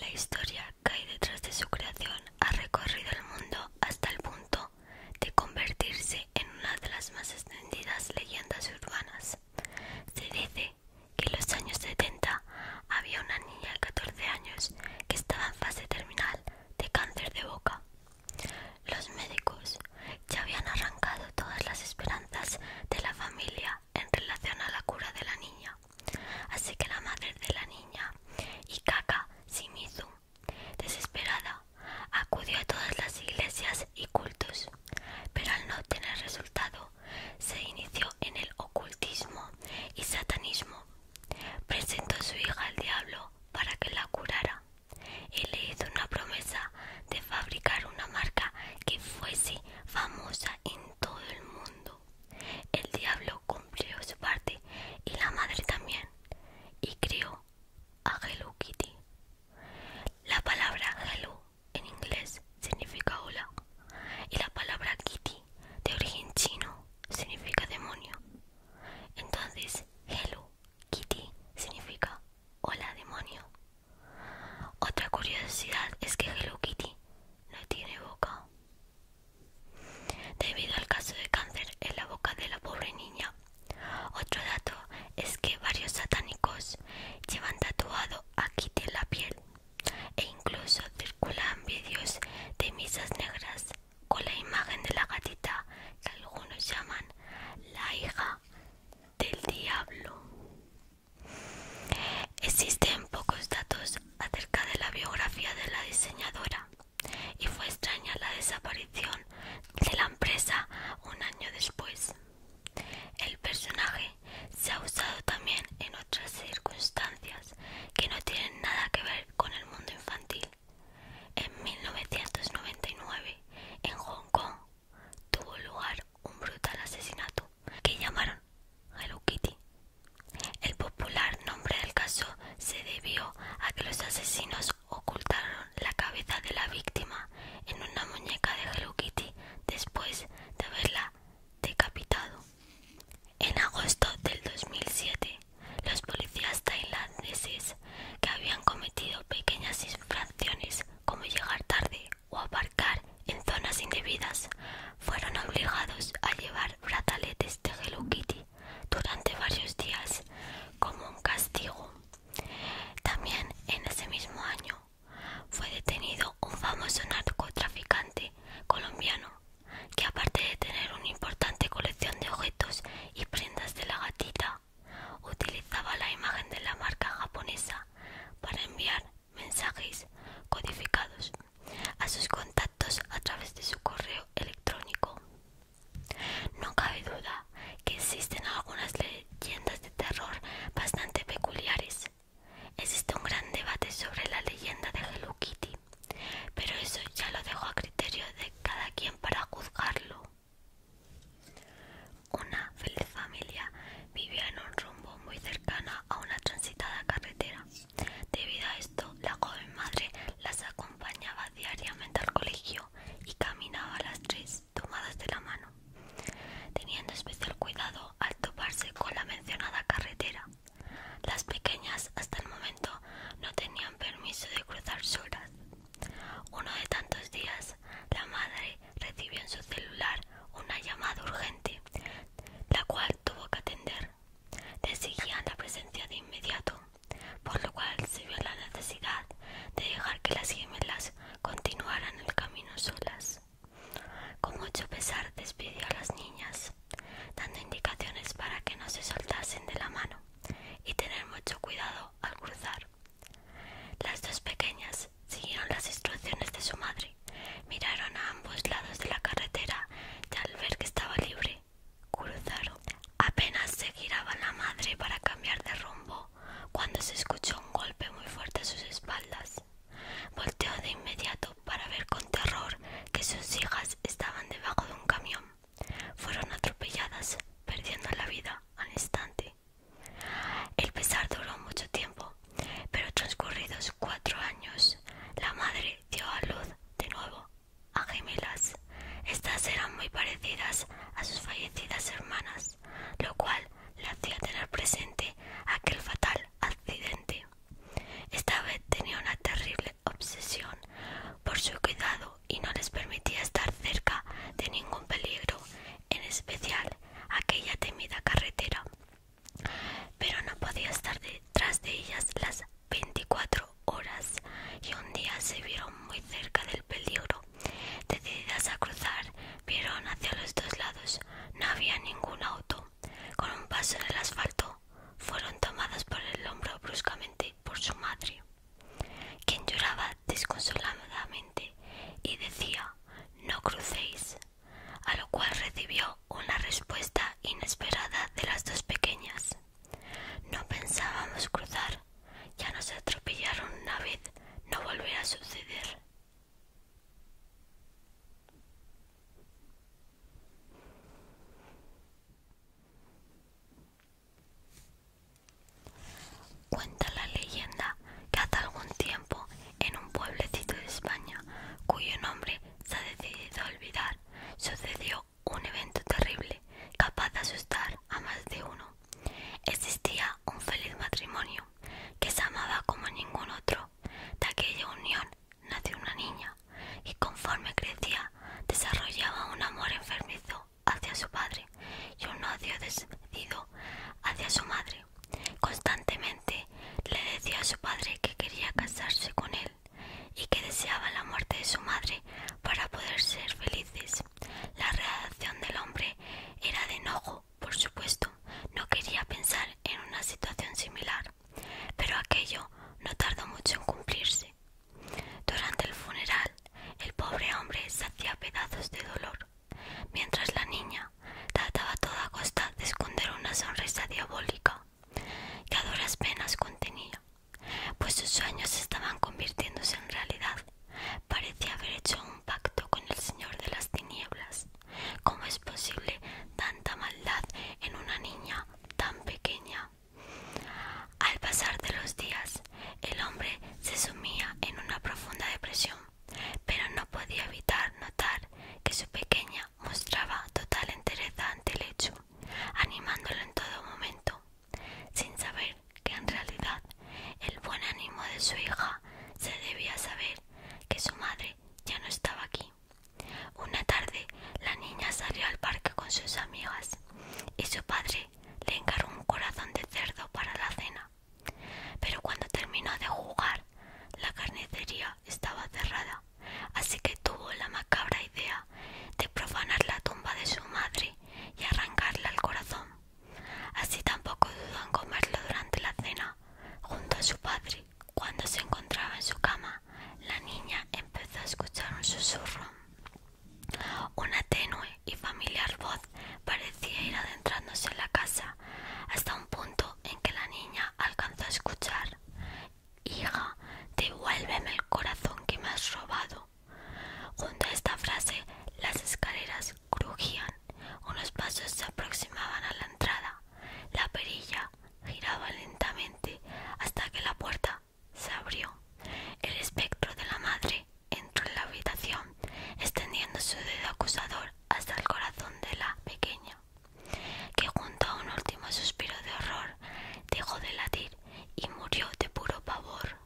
La historia que hay detrás de su creación ha recorrido el mundo hasta el punto de convertirse en una de las más extendidas leyendas urbanas. Se dice que en los años 70 había una niña de 14 años que estaba en fase terminal de cáncer de boca. Los médicos ya habían arrancado todas las esperanzas de la familia en relación a la cura de la niña. Así que la madre de la niña, Ikaka Shimizu, desesperada, acudió a todas las iglesias y cultos, pero al no tener resultado, se inició en el ocultismo y satanismo. Presentó a su hija al diablo para que la curara y le hizo una promesa de fabricar una marca que fuese famosa en todo el mundo. El diablo cumplió su parte y la madre también, y crió a Hello Kitty. La palabra Hello en inglés significa hola y la palabra Kitty de origen chino significa demonio. Entonces, Hello Kitty significa hola demonio. Otra curiosidad es que Hello Kitty no tiene boca. Debido al caso de cáncer en la boca de la pobre niña. Otro dato es que varios satánicos llevan tatuado a Kitty en la piel e incluso circulan vídeos de misas negras con la imagen de la gatita que algunos llaman la hija del diablo. Existen pocos datos acerca de la biografía de la diseñadora y fue extraña la desaparición de la empresa un año después. El personaje se ha usado también en otras circunstancias que no tienen nada que ver con el mundo infantil. En 1999, en Hong Kong, tuvo lugar un brutal asesinato que llamaron Hello Kitty. El popular nombre del caso se debió a que los asesinos ocultaron la cabeza de la víctima en una muñeca de Hello Kitty después de haberla decapitado. En agosto del 2007, los policías tailandeses que habían cometido pequeñas infracciones como llegar tarde o aparcar en zonas indebidas, fueron obligados a llevar brazaletes de Hello Kitty durante varios días como un castigo. También en ese mismo año fue detenido un famoso narcotraficante colombiano que aparte de tener una importante colección de objetos y prendas de la gatita, utilizaba la imagen de la marca japonesa para enviar mensajes codificados a sus contactos a través de su correo electrónico. No cabe duda que existen algunas leyendas de terror bastante peculiares. Existe un gran debate sobre la leyenda de Hello Kitty, pero eso ya lo dejo a criterio de cada quien para juzgarlo. Una feliz familia vivía en un rumbo muy cercano a una transitada carretera. Debido a esto, la joven madre las acompañaba diariamente al colegio y caminaba las tres tomadas de la mano, teniendo especial cuidado al toparse con la mencionada carretera. Las pequeñas hasta el momento no tenían permiso de cruzar solas. Uno de tantos días, la madre recibió en su celular una llamada urgente la cual tuvo que atender. le exigían la presencia de inmediato, por lo cual se vio la necesidad de dejar que las gemelas continuaran el camino solas. Con mucho pesar despidió a las niñas, dando indicaciones para que no se soltasen de la mano y tener mucho cuidado al cruzar. Las dos pequeñas siguieron las instrucciones de su madre Miraron a ambos lados de la carretera y al ver que estaba libre, cruzaron. Apenas se giraba la madre para cambiar de rumbo cuando se escuchó un golpe muy fuerte a sus espaldas. Volteó de inmediato para ver con terror que sus hijas estaban debajo de un camión. Fueron atropelladas, perdiendo la vida al instante. El pesar duró mucho tiempo pero transcurridos cuatro años, la madre dio a luz de nuevo a gemelas. Estas eran muy parecidas a sus fallecidas hermanas, lo cual le hacía tener presente aquel fatal accidente. Esta vez tenía una terrible obsesión por su cuidado y no les permitía estar cerca de ningún peligro, en especial aquella temida carretera pero no podía estar detrás de ellas las veinticuatro horas y un día se vieron muy cerca del peligro. Decididas a cruzar, vieron hacia los dos lados. No había ningún auto. Con un paso en el asfalto, fueron tomadas por el hombro bruscamente por su madre, quien lloraba desconsoladamente y decía, no crucéis, a lo cual recibió una respuesta inesperada de las dos pequeñas. No pensábamos cruzar, ya nos atropellaron una vez, no volverá a suceder. Cuenta la leyenda que hace algún tiempo en un pueblecito de España, cuyo nombre se ha decidido olvidar, sucedió un evento terrible, capaz de asustar a más de uno. Existía un feliz matrimonio, que se amaba como ningún otro. De aquella unión nació una niña, y conforme crecía, desarrollaba un amor enfermizo hacia su padre y un odio despedido hacia su madre. Constantemente le decía a su padre que quería casarse con él y que deseaba la muerte de su madre para poder ser felices. La reacción del hombre era de enojo, por supuesto, no quería pensar en una situación similar, pero aquello no tardó mucho en cumplirse. Durante el funeral, el pobre hombre se pedazos de dolor, mientras la niña trataba a toda costa de esconder una sonrisa diabólica que a duras penas contenía, pues sus sueños estaban convirtiéndose en realidad. Parecía haber hecho un pacto con el Señor de las Tinieblas. ¿Cómo es posible tanta maldad en una niña tan pequeña? Al pasar de los días, el hombre se sumía en una profunda depresión, pero no podía evitar notar que su pequeña mostraba total entereza ante el hecho, animándolo en todo momento, sin saber que en realidad el buen ánimo de su hija se debía saber que su madre ya no estaba aquí. Una tarde la niña salió al parque con sus amigas y su padre le encargó un corazón de cerdo para la cena. Pero cuando terminó de jugar, la carnicería estaba cerrada, así que tuvo la macabra idea de profanar la tumba de su madre y arrancarla al corazón. Así tampoco dudó en comerlo durante la cena, junto a su padre. Cuando se encontraba en su cama, la niña empezó a escuchar un susurro. Una tenue y familiar voz parecía ir adentrándose en la casa hasta un punto en que la niña alcanzó a escuchar Hija, devuélveme el corazón que me has robado. Junto a esta frase, las escaleras crujían, unos pasos se aproximaban a la entrada, la perilla giraba lentamente hasta que la puerta se abrió. El espectro de la madre entró en la habitación, extendiendo su dedo acusador hasta el corazón de la pequeña que junto a un último suspiro de horror dejó de latir y murió de puro pavor.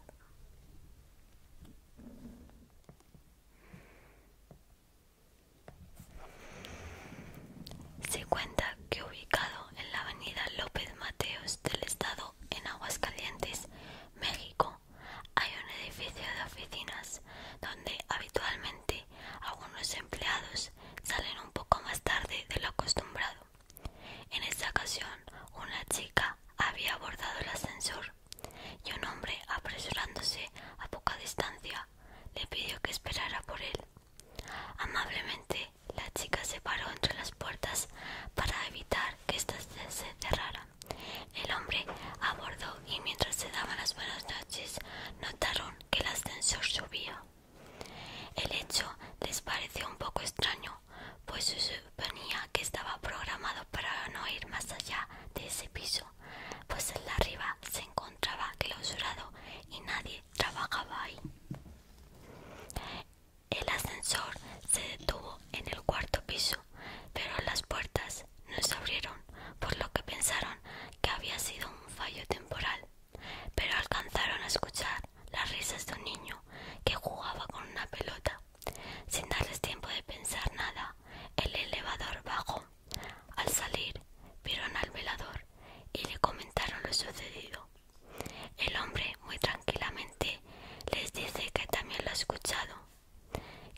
Se cuenta que ubicado en la avenida López Mateos del Estado en Aguascalientes, México, hay un edificio de oficinas donde habitualmente algunos empleados salen un poco más tarde de lo acostumbrado. En esta ocasión, una chica había abordado el ascensor y un hombre, apresurándose a poca distancia, le pidió que esperara por él. Amablemente, la chica se paró entre las puertas para evitar que éstas se cerraran. El hombre abordó y mientras se daban las buenas noches notaron que el ascensor subía. El hecho les pareció un poco extraño, pues se suponía que estaba programado para no ir más allá de ese piso, pues en la arriba se encontraba clausurado y nadie trabajaba ahí. El ascensor se detuvo en el cuarto piso, pero las puertas no se abrieron, por lo que pensaron que había sido un fallo temporal, pero alcanzaron a escuchar las risas de un niño que jugaba con una pelota. Sin darles tiempo de pensar nada, el elevador bajó. Al salir, vieron al velador y le comentaron lo sucedido. El hombre muy tranquilamente les dice que también lo ha escuchado,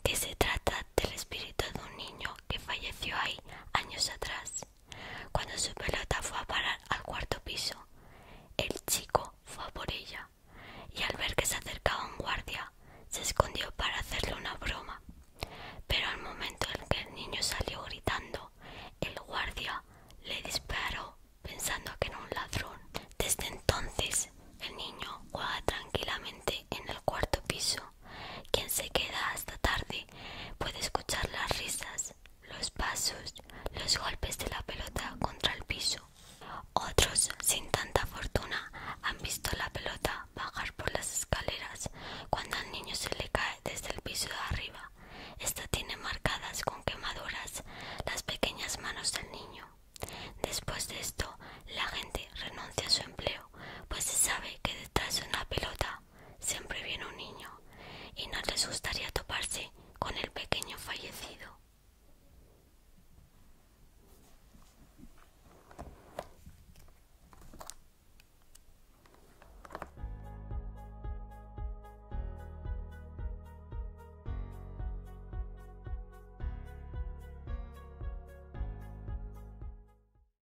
que se trata del espíritu de un niño que falleció ahí años atrás cuando su pelota fue a parar al cuarto piso, el chico fue por ella y al ver que se acercaba un guardia, se escondió para hacerle una broma. Pero al momento en que el niño salió gritando, el guardia le disparó pensando que era un ladrón. Desde entonces, el niño juega tranquilamente en el cuarto piso quien se queda hasta tarde puede escuchar las risas, los pasos, los golpes de la pelota contra el piso. Otros, sin tanta fortuna, han visto la pelota bajar por las escaleras cuando al niño se le cae desde el piso de arriba. Esta tiene marcadas con quemaduras las pequeñas manos del niño. Después de esto, la gente renuncia a su empleo, pues se sabe que detrás de una pelota siempre viene un niño y no les gustaría toparse con el pequeño fallecido.